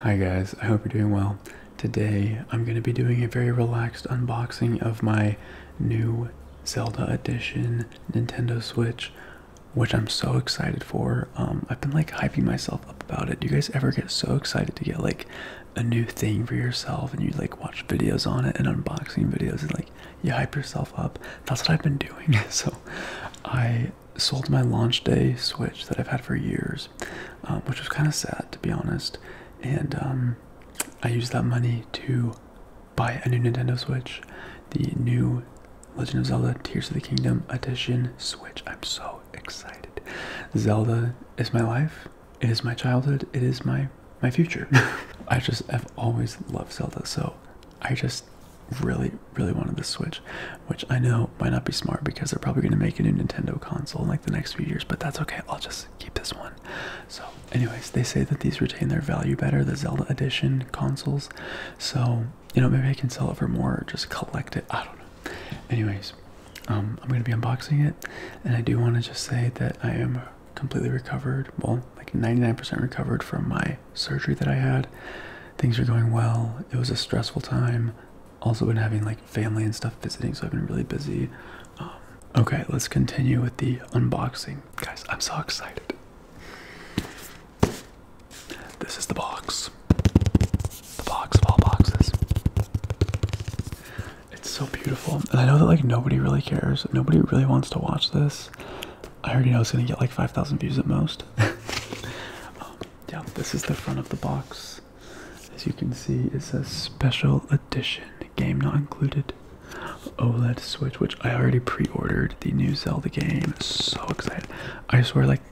Hi guys, I hope you're doing well. Today I'm going to be doing a very relaxed unboxing of my new Zelda Edition Nintendo Switch, which I'm so excited for. Um, I've been like hyping myself up about it. Do you guys ever get so excited to get like a new thing for yourself and you like watch videos on it and unboxing videos and like you hype yourself up? That's what I've been doing. so I sold my launch day Switch that I've had for years, um, which was kind of sad to be honest. And um, I used that money to buy a new Nintendo Switch, the new Legend of Zelda Tears of the Kingdom Edition Switch. I'm so excited. Zelda is my life. It is my childhood. It is my my future. I just have always loved Zelda, so I just really, really wanted the Switch, which I know might not be smart because they're probably going to make a new Nintendo console in like the next few years, but that's okay. I'll just keep this one. So, anyways, they say that these retain their value better, the Zelda Edition consoles. So, you know, maybe I can sell it for more or just collect it. I don't know. Anyways, um, I'm going to be unboxing it, and I do want to just say that I am completely recovered. Well, like 99% recovered from my surgery that I had. Things are going well. It was a stressful time also been having like family and stuff visiting, so I've been really busy. Um, okay, let's continue with the unboxing, guys. I'm so excited. This is the box, the box of all boxes. It's so beautiful, and I know that like nobody really cares. Nobody really wants to watch this. I already know it's gonna get like 5,000 views at most. Um, yeah, this is the front of the box. As you can see, it says special edition, game not included. OLED Switch, which I already pre-ordered the new Zelda game. So excited. I swear like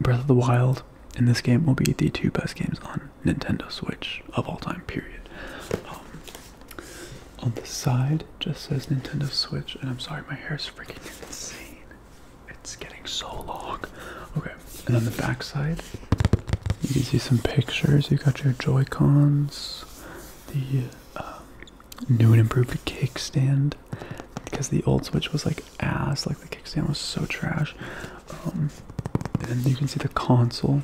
Breath of the Wild and this game will be the two best games on Nintendo Switch of all time, period. Um, on the side just says Nintendo Switch, and I'm sorry my hair is freaking insane. It's getting so long. Okay, and on the back side, you can see some pictures. You got your Joy Cons, the um, new and improved kickstand, because the old Switch was like ass, like the kickstand was so trash. Um, and you can see the console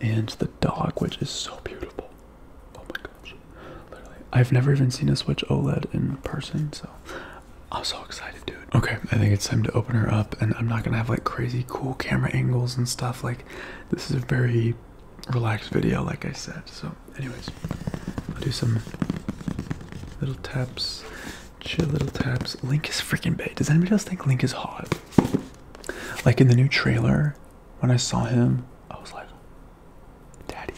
and the dog, which is so beautiful. Oh my gosh. Literally, I've never even seen a Switch OLED in person, so I'm so excited, dude. Okay, I think it's time to open her up, and I'm not gonna have like crazy cool camera angles and stuff. Like, this is a very relaxed video, like I said. So, anyways, I'll do some little taps, chill little taps. Link is freaking big. Does anybody else think Link is hot? Like in the new trailer, when I saw him, I was like, Daddy.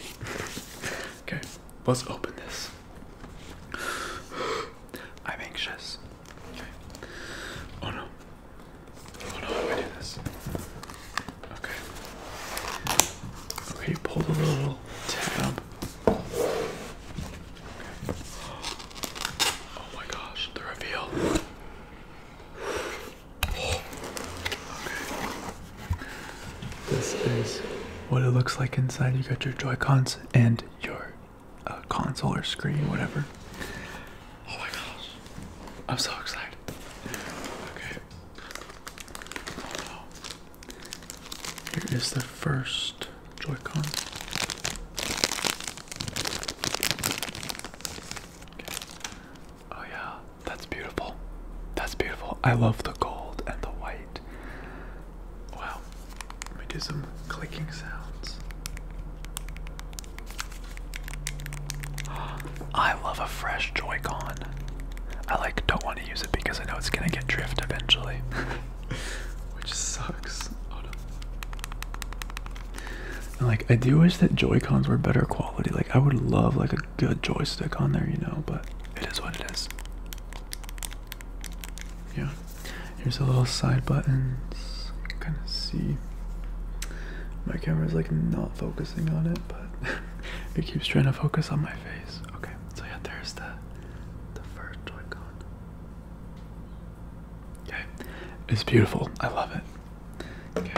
okay, let's open this. I'm anxious. Okay. Oh no. Oh no, how do I do this? Okay. Okay, pull the little tab. Okay. Oh my gosh, the reveal. This is what it looks like inside. You got your Joy-Cons and your uh, console or screen, whatever. Oh my gosh. I'm so excited. Okay. Here is the first Joy-Con. Okay. Oh yeah. That's beautiful. That's beautiful. I love the gold and the white. Wow. Let me do some clicking sounds. I love a fresh Joy-Con. I like don't want to use it because I know it's gonna get drift eventually. Which sucks. like I do wish that Joy-Cons were better quality. Like I would love like a good joystick on there, you know, but it is what it is. Yeah. Here's a little side buttons. kind of see. My camera's like not focusing on it, but it keeps trying to focus on my face. Okay, so yeah, there's the the first Joy-Con. Okay. It's beautiful. I love it. Okay,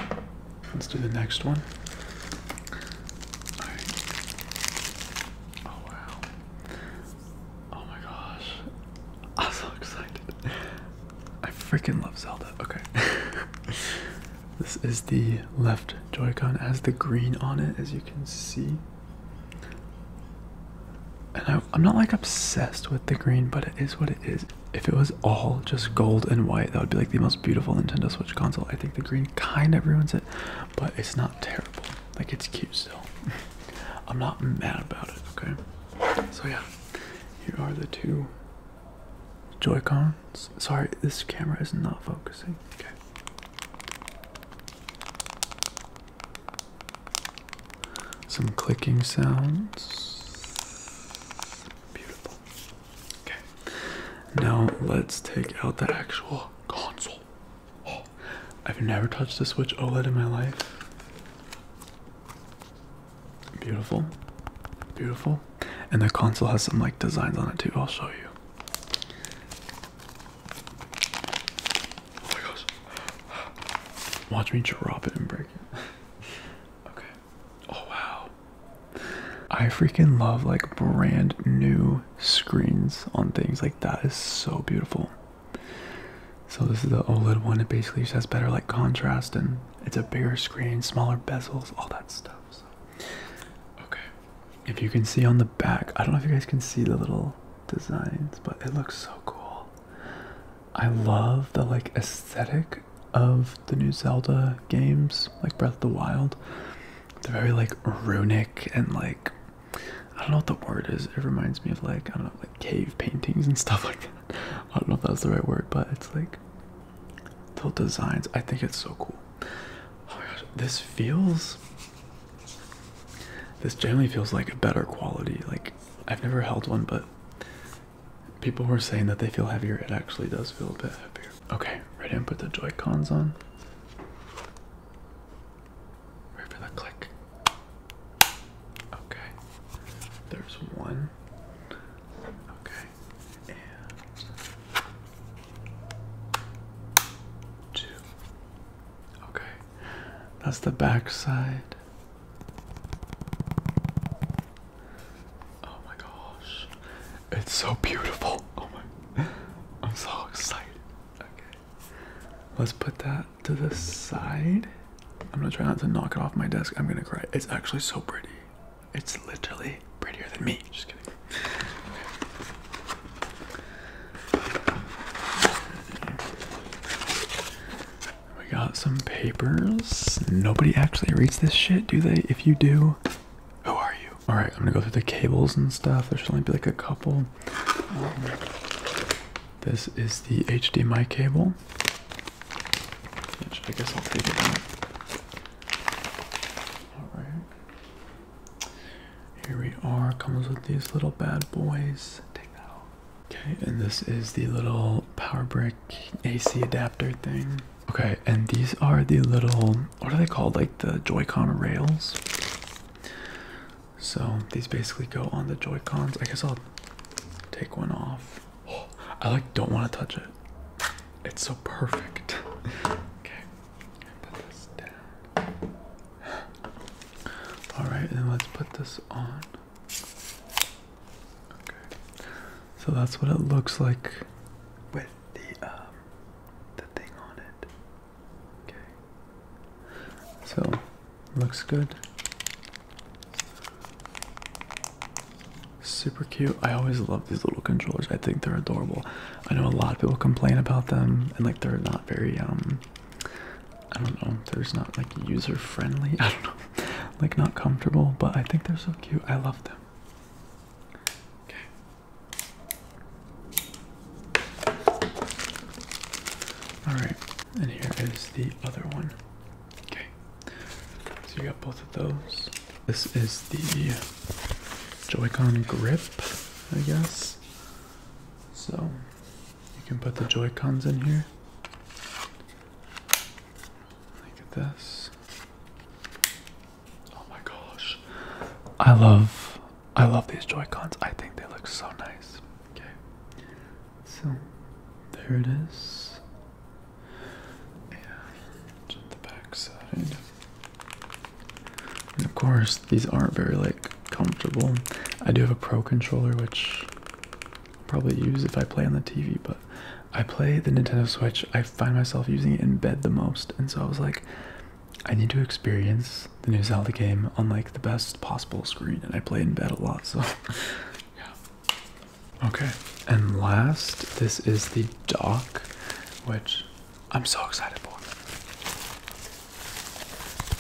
let's do the next one. Oh wow! Oh my gosh! I'm so excited. I freaking love Zelda. Okay. this is the left Joy-Con. It has the green on it, as you can see. And I'm not like obsessed with the green, but it is what it is. If it was all just gold and white, that would be like the most beautiful Nintendo Switch console. I think the green kind of ruins it, but it's not terrible. Like it's cute still. I'm not mad about it, okay? So yeah, here are the two Joy-Cons. Sorry, this camera is not focusing. Okay. Some clicking sounds. Beautiful. Okay, now let's take out the actual console. Oh, I've never touched a Switch OLED in my life. Beautiful, beautiful. And the console has some like designs on it too. I'll show you. Oh my gosh. Watch me drop it and break it. okay. Oh wow. I freaking love like brand new screens on things like that is so beautiful. So this is the OLED one. It basically just has better like contrast and it's a bigger screen, smaller bezels, all that stuff. Okay. If you can see on the back, I don't know if you guys can see the little designs, but it looks so cool. I love the like aesthetic of the new Zelda games, like Breath of the Wild. They're very like runic and like I don't know what the word is. It reminds me of like I don't know like cave paintings and stuff like that. I don't know if that's the right word, but it's like the designs. I think it's so cool. Oh my gosh, this feels this genuinely feels like a better quality. Like I've never held one, but People were saying that they feel heavier. It actually does feel a bit heavier. Okay, ready and put the Joycons on. Ready for the click. Okay, there's one. Okay, and two. Okay, that's the back side. Oh my gosh. It's so beautiful. Oh my. I'm so excited. Okay. Let's put that to the side. I'm gonna try not to knock it off my desk. I'm gonna cry. It's actually so pretty. It's literally prettier than me. Just kidding. We got some papers. Nobody actually reads this shit, do they? if you do, who are you? All right, I'm gonna go through the cables and stuff. There should only be like a couple. Um, this is the HDMI cable, I guess I'll take it out. All right, here we are. Comes with these little bad boys. Take that out. Okay, and this is the little power brick AC adapter thing. Okay, and these are the little what are they called? Like the Joy-Con rails. So these basically go on the Joy-Cons. I guess I'll take one off. I like don't want to touch it. It's so perfect. okay, put this down. All right, and let's put this on. Okay. So that's what it looks like with the um, the thing on it. Okay. So looks good. Super cute. I always love these little controllers. I think they're adorable. I know a lot of people complain about them and like they're not very um I don't know, they there's not like user friendly. I don't know like not comfortable, but I think they're so cute. I love them. Okay. Alright, and here is the other one. Okay. So you got both of those. This is the Joy-Con grip, I guess. So you can put the Joy-Cons in here. Look at this. Oh my gosh. I love I love these Joy-Cons. I think they look so nice. Okay. So there it is. And the back side. And of course these aren't very like comfortable. I do have a pro controller which probably use if I play on the TV, but I play the Nintendo Switch. I find myself using it in bed the most, and so I was like, I need to experience the new Zelda game on like the best possible screen, and I play in bed a lot, so yeah. Okay, and last, this is the dock, which I'm so excited for.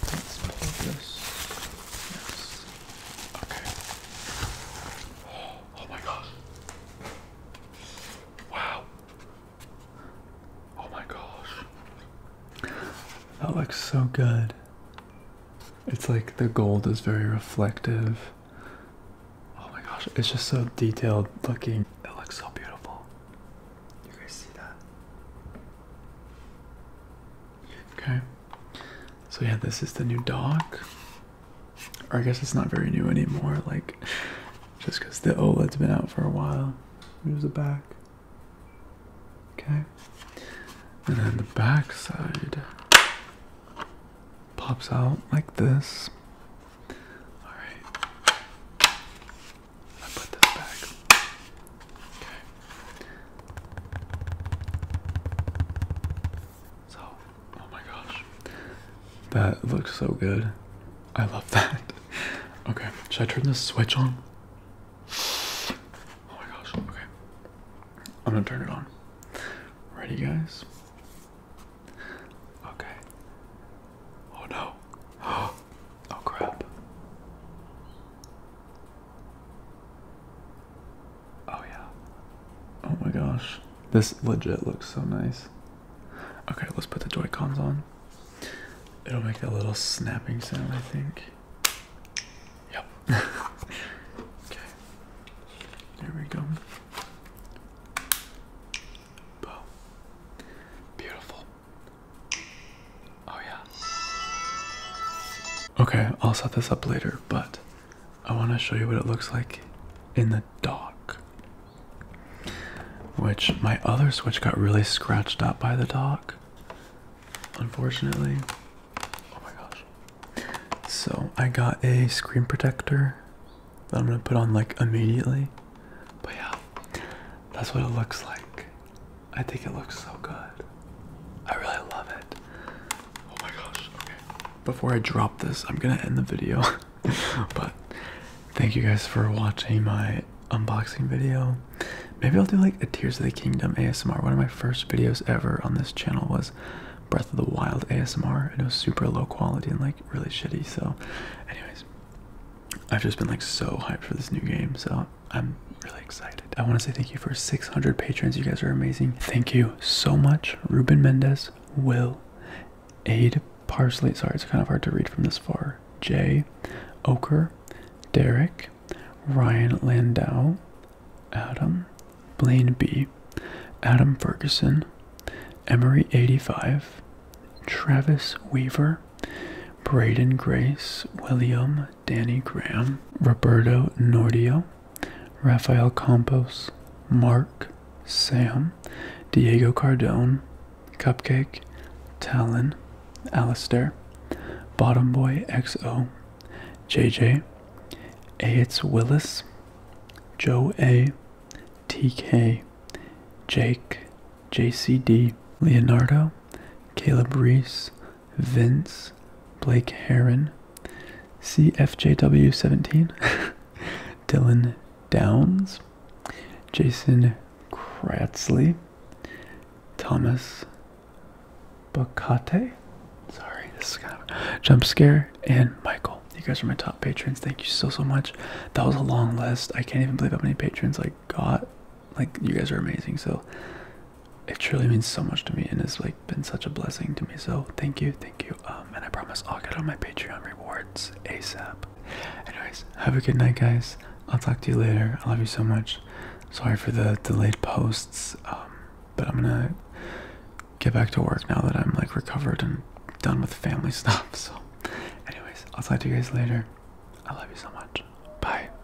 Let's pull this. Yes. Okay. Oh, my gosh. Wow. Oh my gosh. That looks so good. It's like the gold is very reflective. Oh my gosh, it's just so detailed looking. It looks so beautiful. You guys see that? Okay. So yeah, this is the new dock. Or I guess it's not very new anymore, like just because the OLED's been out for a while. Moves it back. Okay. And then the back side pops out like this. Alright. I put this back. Okay. So, oh my gosh. That looks so good. I love that. Okay, should I turn this switch on? Oh my gosh, okay. I'm gonna turn it on. Ready, guys? Okay. Oh no. Oh crap. Oh yeah. Oh my gosh. This legit looks so nice. Okay, let's put the Joy-Cons on. It'll make that little snapping sound, I think. Yep. okay. There we go. Boom. Beautiful. Oh yeah. Okay, I'll set this up later, but I want to show you what it looks like in the dock. Which my other Switch got really scratched up by the dock, unfortunately. Oh my gosh. So I got a screen protector that I'm going to put on like immediately. But yeah, that's what it looks like. I think it looks so good. I really love it. Oh my gosh. Okay. Before I drop this, I'm going to end the video. but thank you guys for watching my unboxing video. Maybe I'll do like a Tears of the Kingdom ASMR. One of my first videos ever on this channel was Breath of the Wild ASMR. it was super low quality and like really shitty. So, anyways, I've just been like so hyped for this new game. So, I'm really excited. I want to say thank you for 600 patrons. You guys are amazing. Thank you so much, Ruben Mendez, Will, Aid Parsley. Sorry, it's kind of hard to read from this far. Jay, Oker, Derek, Ryan Landau, Adam, Blaine B, Adam Ferguson, Emery85, Travis Weaver, Braden Grace, William, Danny Graham, Roberto Nordio, Rafael Campos, Mark, Sam, Diego Cardone, Cupcake, Talon, Alastair, Bottom Boy XO, JJ, Aitz Willis, Joe A, TK, Jake, JCD, Leonardo, Caleb Reese, Vince, Blake Heron, CFJW17, Dylan Downs, Jason Kratzley, Thomas Bacate. Sorry, this is jump scare, and Michael. You guys are my top patrons. Thank you so so much. That was a long list. I can't even believe how many patrons I got. Like you guys are amazing. So it truly means so much to me and it's like been such a blessing to me. So thank you, thank you. Um, and I promise I'll get on my Patreon rewards ASAP. Anyways, have a good night, guys. I'll talk to you later. I love you so much. Sorry for the delayed posts, um, but I'm gonna get back to work now that I'm like recovered and done with family stuff. So, anyways, I'll talk to you guys later. I love you so much. Bye.